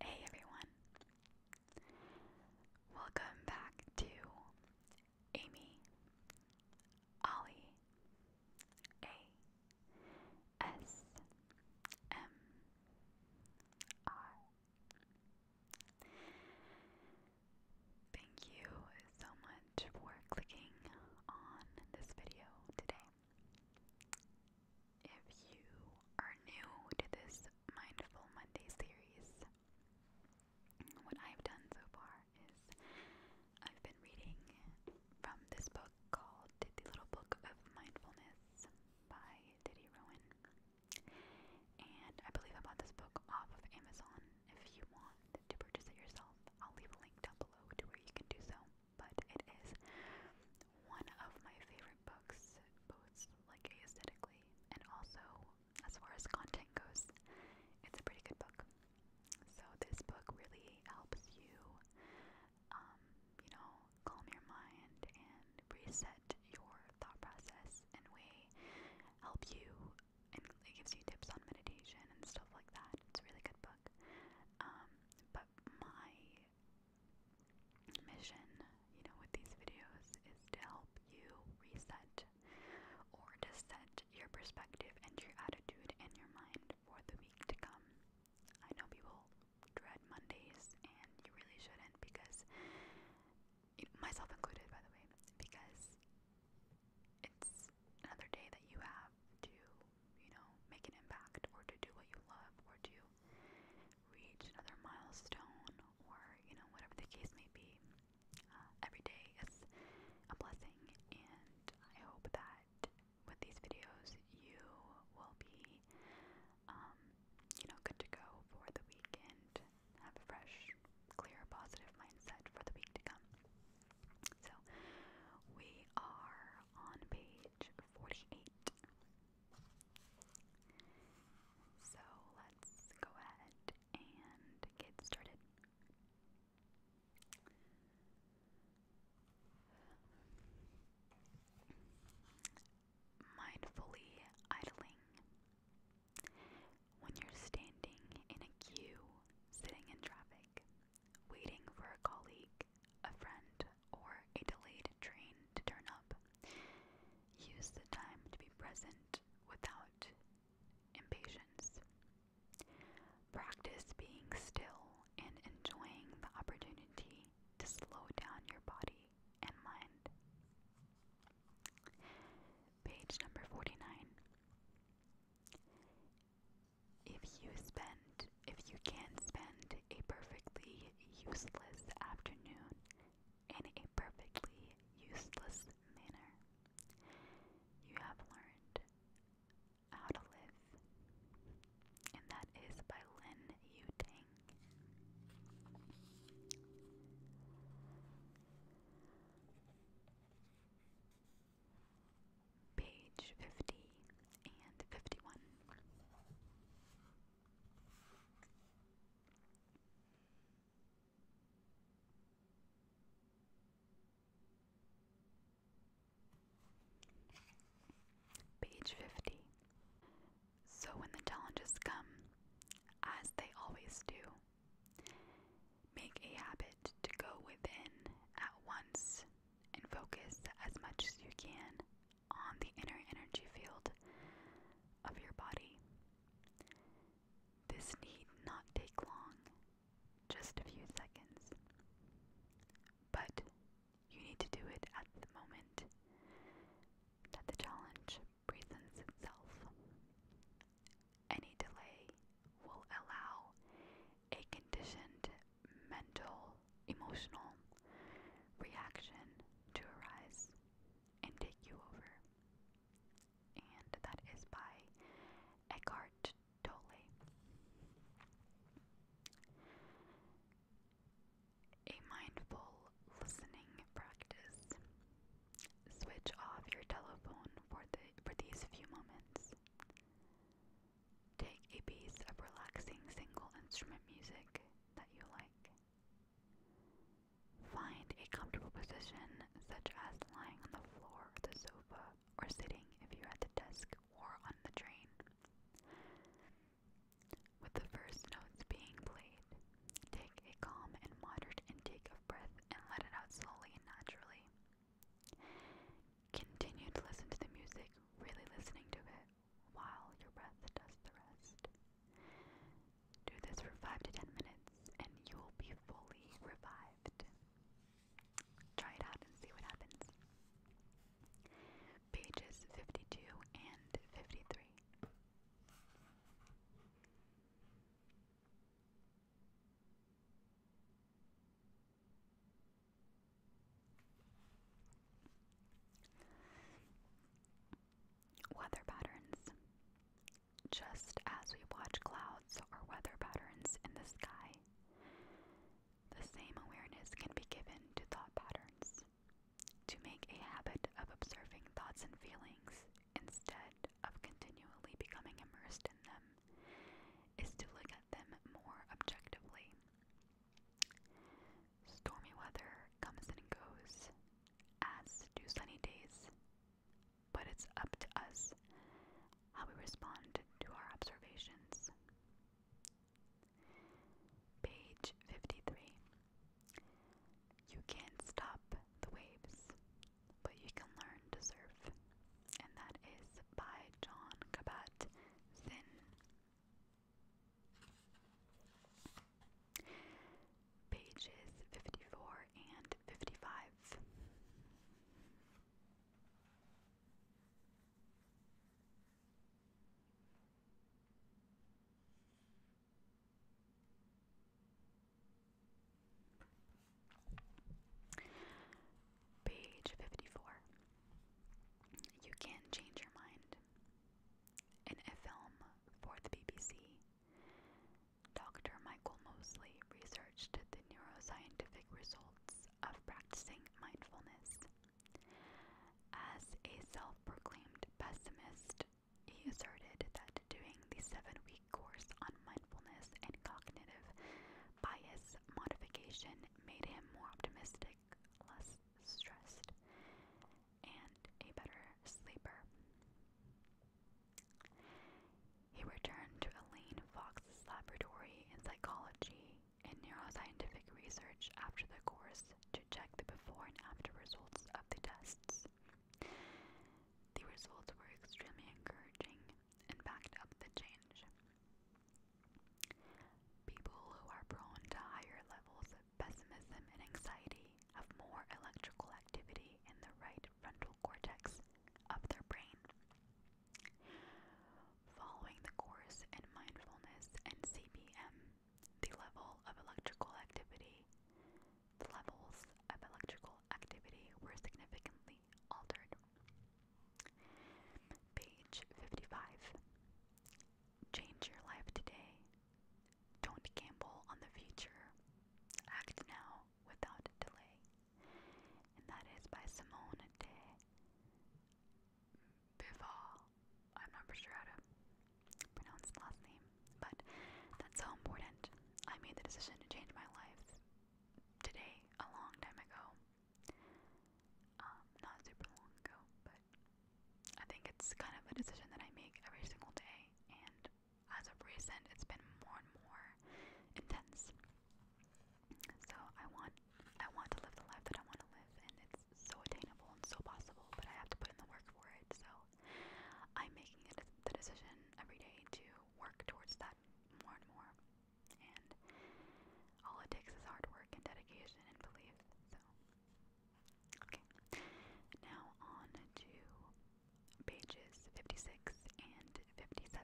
Hey everyone. Welcome back to Amy Ollie A S M R. Thank you so much for clicking on this video today. If you are new to this Mindful Monday series, what I've done so far is I've been reading from this book called The Little Book of Mindfulness by Diddy Rowan. And I believe I bought this book off of Amazon. If you want to purchase it yourself, I'll leave a link down below to where you can do so but it is one of my favorite books, both like aesthetically and also as far as content goes. It's a pretty good book. So this book really helps you, um, you know, calm your mind and reset your thought process and way help you and it gives you tips on meditation and stuff like that. It's a really good book. Um, but my mission, you know, with these videos is to help you reset or to set your perspective and your attitude and your mind for the week to come. I know people dread Mondays, and you really shouldn't because, myself included, by the way, because it's another day that you have to you know, make an impact or to do what you love or to reach another milestone or, you know, whatever the case may be. Uh, every day is a blessing, and I hope that with these videos you will be, um, you know, good to go for the weekend. Have a fresh, clear, positive mindset for the week to come. So we are on page page 48. So let's go ahead and get started. Mindfully idling. When you're standing in a queue, sitting in traffic, waiting for a colleague, a friend, or a delayed train to turn up. Use the time to be present without impatience. Practice being still and enjoying the opportunity to slow down your body and mind. Page number 49. If you spend, if you can spend a perfectly useless afternoon in a perfectly useless manner, you have learned how to live. And that is by Lin Yu page 50 and 51. Page 50. So when the challenges come, as they always do, Make a habit to go within at once and focus as much as you can on the inner energy field of your body. This need not take long, just a few seconds. But you need to do it at the moment that the challenge presents itself. Any delay will allow a conditioned mental, emotional reaction to arise and take you over. And that is by Eckhart Tolle. A mindful listening practice. Switch off your telephone for the for these few moments. Take a piece of relaxing single instrument music that you like. Find a comfortable position, such as lying on the floor or the sofa, or sitting if you're at the desk or on the train. With the first notes being played, take a calm and moderate intake of breath and let it out slowly and naturally. Continue to listen to the music, really listening to it while your breath does the rest. Do this for 5 to 10 minutes and you'll be fully revived. Try it out and see what happens. Pages 52 and 53. Weather patterns. Just as we watch clouds or weather patterns in the sky, the same awareness can be given to thought patterns. To make a habit of observing thoughts and feelings instead of continually becoming immersed in them is to look at them more objectively. Stormy weather comes and goes, as do sunny days, but it's up to us how we respond to our observations. Page 53 You can't stop the waves, but you can learn to surf. And that is by John Kabat Zinn. Pages 54 and 55. Page 54. You can change your mind. In a film for the BBC, Dr. Michael Mosley researched the neuroscientific results of practicing mindfulness. As a self proclaimed pessimist, he asserted that doing the seven week course on mindfulness and cognitive bias modification made him more optimistic, less stressed, and a better sleeper. He returned to Elaine Fox's laboratory in psychology and neuroscientific research after the course to check the before and after results of the tests. The results were extremely encouraging and backed up the change. People who are prone to higher levels of pessimism and anxiety have more electrical activity in the right frontal cortex of their brain. Following the course in mindfulness and CBM, the level of electrical activity. The levels of electrical activity were significantly altered. Page 55. Change your life today. Don't gamble on the future. Act now without delay. And that is by Simone de Beauvoir. I'm not sure how to pronounce the last name, but that's so important. I made the decision to change my life today, a long time ago. Um, not super long ago, but I think it's kind of a decision that I make every single day, and as of recent, it's been more and more intense. So I want, I want to live the life that I want to live, and it's so attainable and so possible. But I have to put in the work for it. So I'm making it the decision every day to work towards that more and more. And all it takes is hard work and dedication and belief. So, okay. Now on to pages 56 and 57.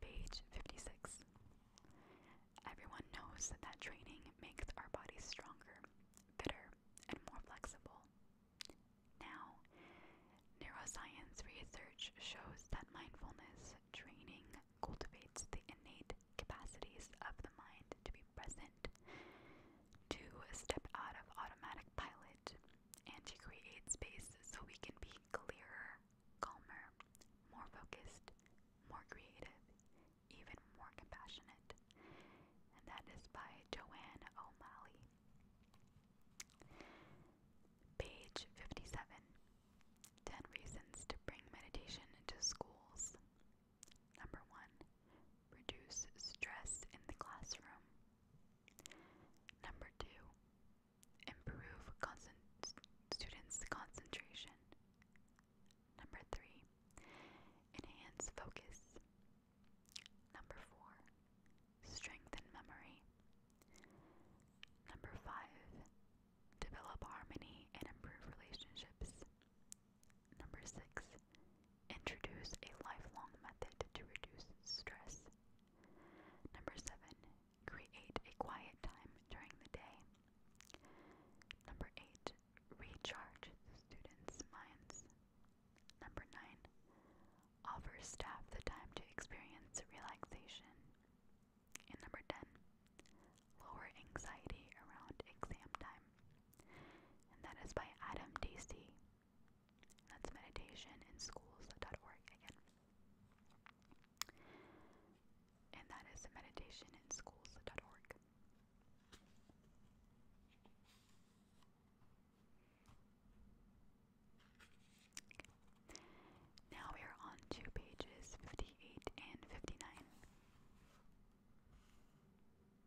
Page 56. Everyone knows that training makes our bodies stronger, fitter, and more flexible. Now, neuroscience research shows that mindfulness training cultivates the innate capacities of the mind to be present innocent, to step out of automatic pilot and to create space so we can be clearer, calmer, more focused, more creative, even more compassionate. And that is by Joanne O'Malley. Page 57 10 Reasons to Bring Meditation into Schools Number one, reduce stress in the classroom. Number two, improve students' concentration. Number three, enhance focus. Number four, strengthen memory. Number five, develop harmony and improve relationships. Number six, introduce a lifelong method to reduce stress. Number seven, create a quiet time during the day. Number eight, recharge the students' minds. Number nine, offer staff the time to experience relaxation. And number 10, lower anxiety around exam time and that is by Adam Dacey. That's meditationinschools.org again. And that is meditationinschools.org. Now we are on to pages 58 and 59.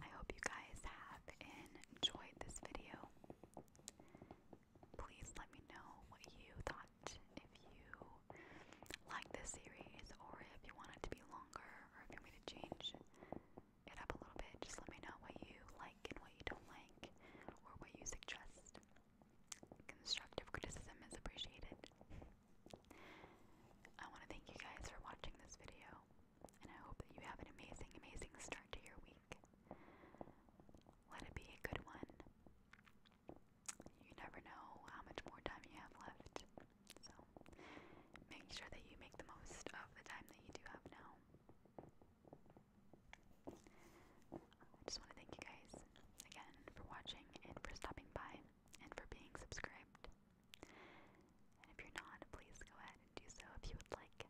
I hope you guys have enjoyed this video. Please let me know what you thought, if you like this series, or if you want it to be longer, or if you want me to change it up a little bit. Just let me know what you like and what you don't like, or what you suggest. Constructive criticism is appreciated. I want to thank you guys for watching this video and I hope that you have an amazing, amazing start to your week. Let it be a good one. You never know how much more time you have left, so make sure that you make the most of the time that you do have now. I just want to thank you guys again for watching and for stopping by and for being subscribed. And if you're not, please go ahead and do so if you would like.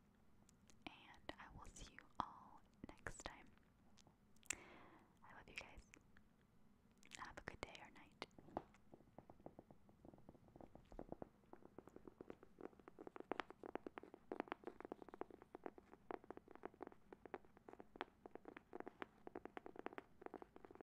And I will see you all next time. I love you guys. Have a good day or night.